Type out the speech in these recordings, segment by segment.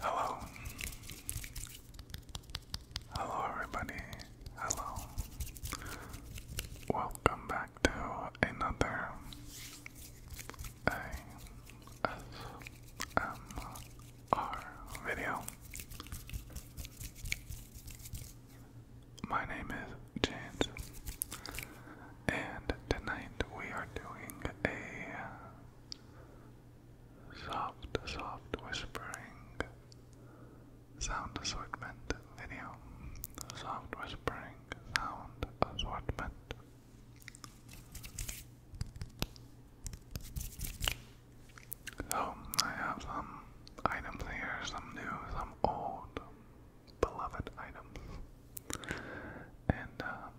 Hello. Hello, everybody. Hello. Welcome back to another ASMR video. My name is James, and tonight we are doing a soft, soft whispering sound assortment video. Soft whispering sound assortment. So, oh, I have some items here, some new, some old beloved items. And, um,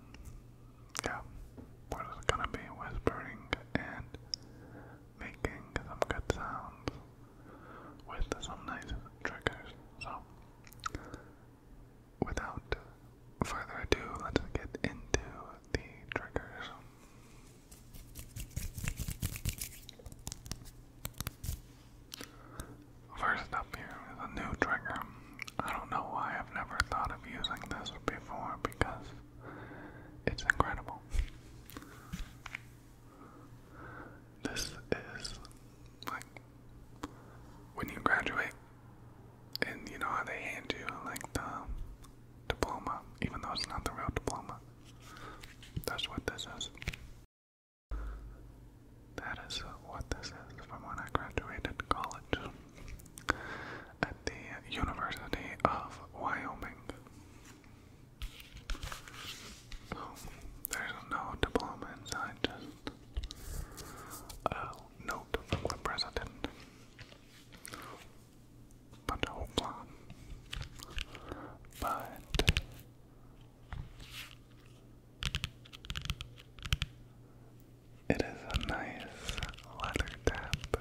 yeah, we're just gonna be whispering and making some good sounds with some nice triggers. So, without further ado, let's get into the triggers. First up here is a new trigger. I don't know why I've never thought of using this before because it's incredible. This is like when you graduate and you know how they hand you like the diploma, even though it's not the real diploma. That's what this is. That is what this is from when I graduated college at the University of Wyoming. So, there's no diploma inside, just note the president. But hoopla. But it is a nice leather tap.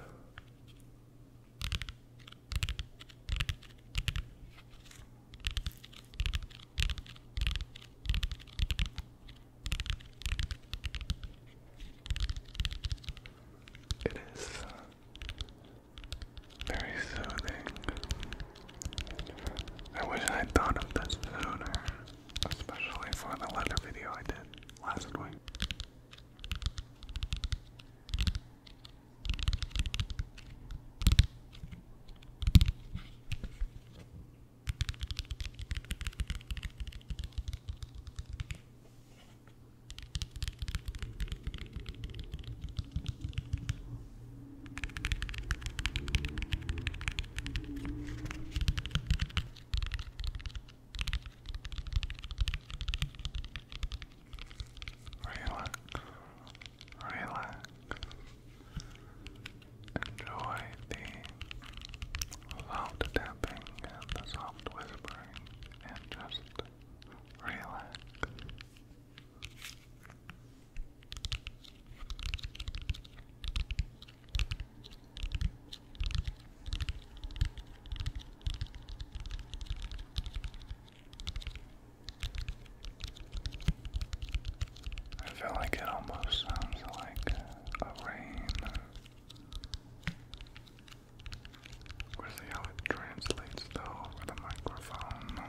It is very soothing. I wish I would thought of this sooner, especially for the leather video I did last week. Relax, relax, enjoy the loud tapping and the soft whispering, and just relax. I feel like it almost sounds like a rain. we how it translates though over the microphone.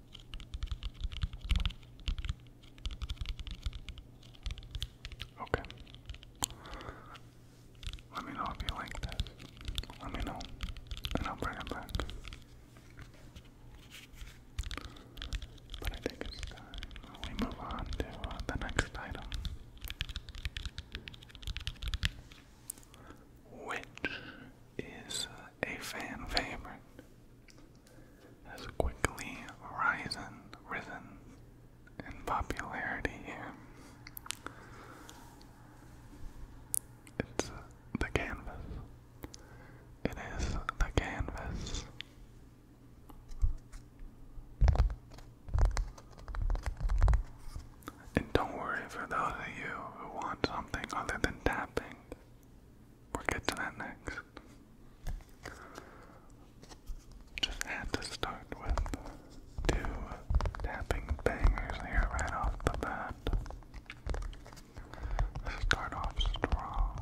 Okay. Let me know if you like this. Let me know, and I'll bring it back. But I think it's time we move on to uh, the next item. Which is uh, a fan favorite has quickly risen, risen in popularity here. It's the canvas. It is the canvas. And don't worry for those of you who want something other than tapping. We'll get to that next. Just had to start with two tapping bangers here right off the bat. Start off strong.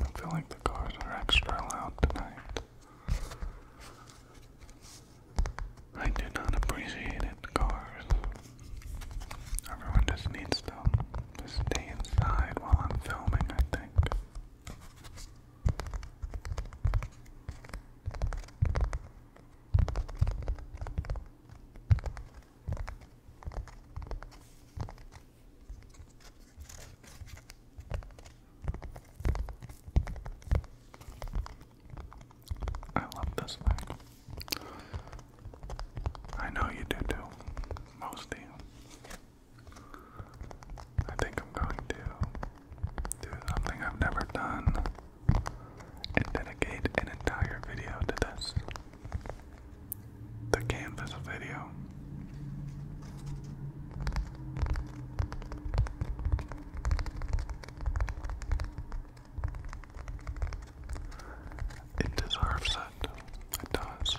I feel like the cars are extra loud tonight. I do not appreciate it, cars. Everyone just needs to, to stay inside while I'm filming, I think. I love this thing. I know you do too. Most I think I'm going to do something I've never done and dedicate an entire video to this. The canvas video. It deserves it. It does.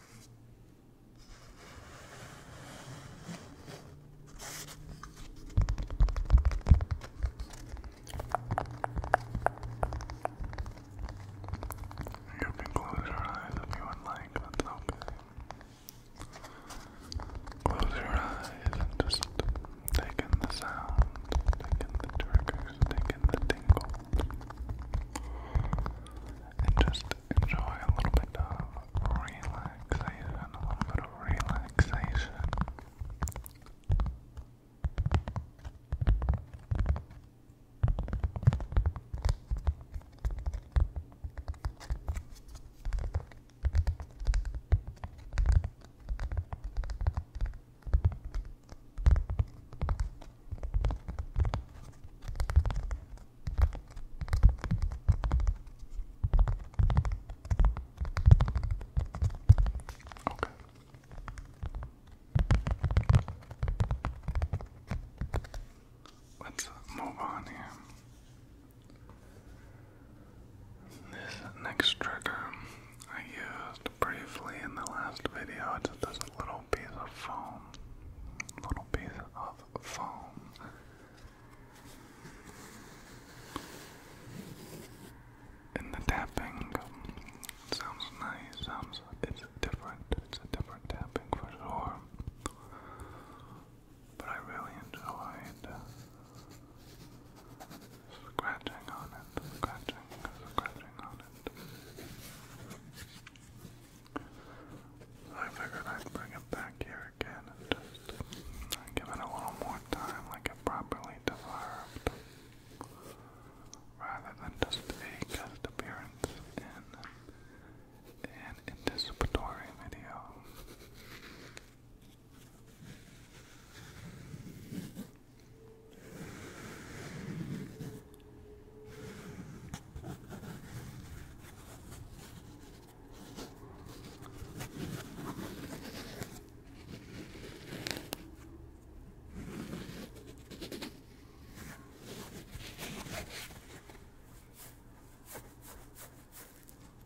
You can close your eyes if you would like, that's okay. Close your eyes and just take in the sound, take in the triggers, take in the tingles and just enjoy a little bit of relaxation, a little bit of relaxation. Okay. Let's move on here. This next trigger I briefly in the last video. just this little piece of foam. Little piece of foam. And the tapping sounds nice, sounds it's different. It's a different tapping for sure. But I really enjoyed uh, scratching on it, scratching, scratching on it. So I figured I'd bring it back here again give it a little more time, like it properly deserved, rather than just a guest appearance in an anticipatory video.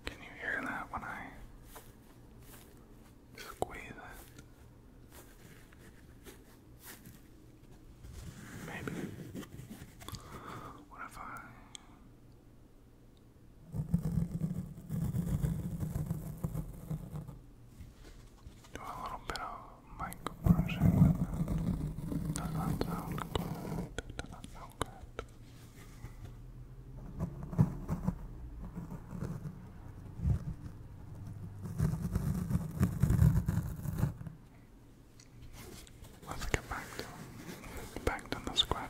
Can you hear that when I Squeeze it. Maybe. What if I. Do a little bit of mic brushing Does that sound good? Does that sound good? Let's get back to back to the scratching.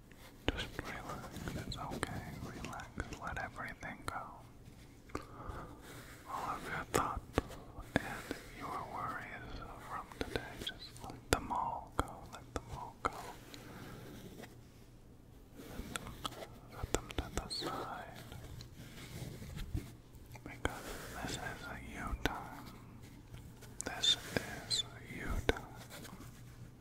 Just relax, it's okay, relax, let everything go. All of your thoughts and your worries from today, just let them all go, let them all go. Put them to the side. Because this is a you time. This is you time.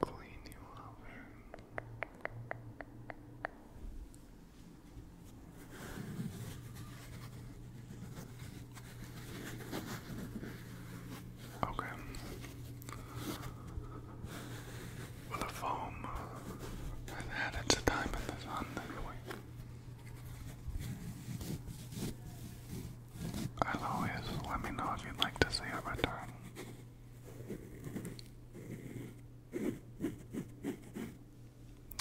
clean you up. Okay. Well, the foam has had its time in the sun anyway. As always, let me know if you'd like to see a return.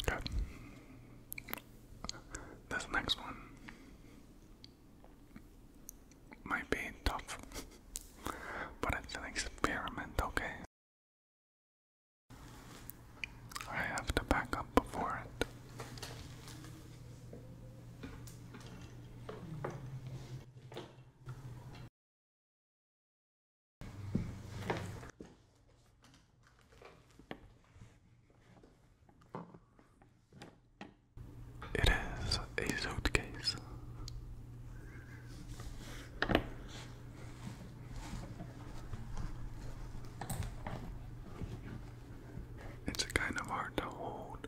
Good. This next one might be tough, but it's an experiment, okay? I have to back up before it. It is a suitcase. It's kind of hard to hold.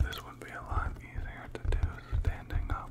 This would be a lot easier to do standing up.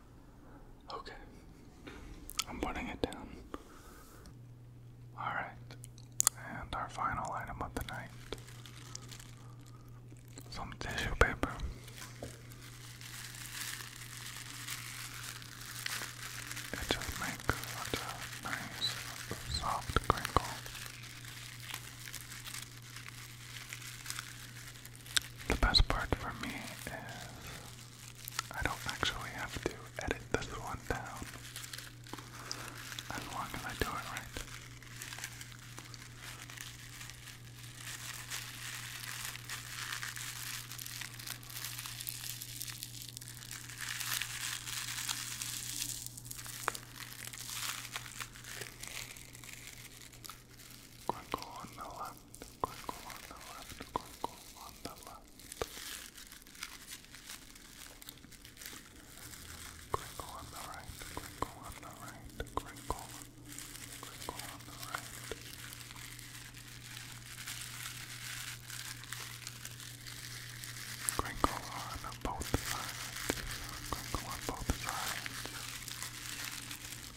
Okay. I'm putting it down. Alright. And our final item of the night some tissue paper. It just makes such a nice, soft crinkle. The best part for me is I don't actually have to edit this one down as long as I do it right. Crinkle on the left, crinkle on the left, crinkle on the left. Crinkle on the right, crinkle on the right, crinkle, crinkle on the right. Crinkle on both sides, crinkle on both sides.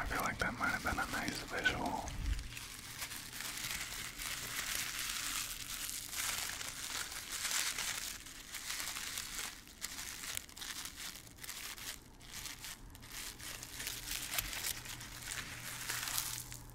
I feel like that might have been a nice visual.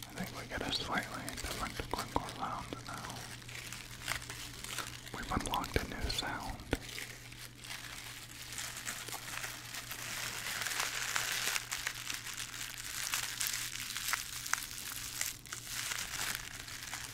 I think we get a slightly different Glinkor sound now. We've unlocked a new sound.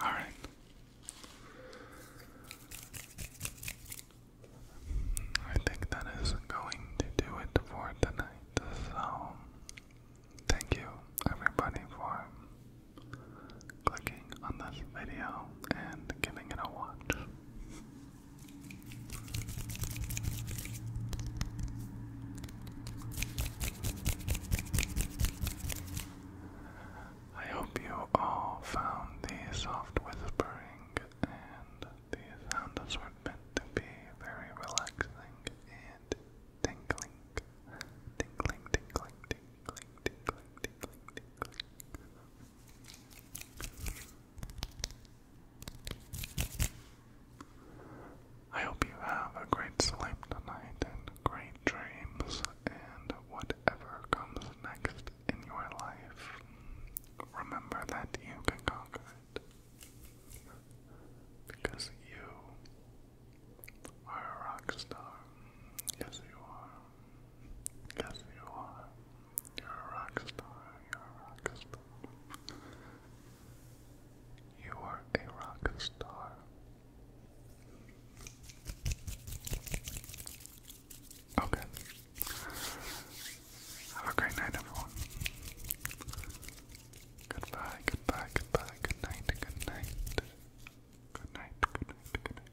All right. I think that is going to do it for tonight. So, thank you everybody for clicking on this video and giving it a watch. I hope you all found the soft whispering and the were meant to be very relaxing and tinkling. Tinkling, tinkling, tinkling, tinkling, tinkling, tinkling. I hope you have a great sleep tonight and great dreams and whatever comes next in your life. Remember that you can conquer it. Because you are a rock star. Yes, you are. Yes, you are. You're a rock star. You're a rock star. You are a rock star. Okay. Have a great night, everyone. Goodbye, goodbye, goodbye, good night, good night. Good night, good night, good night,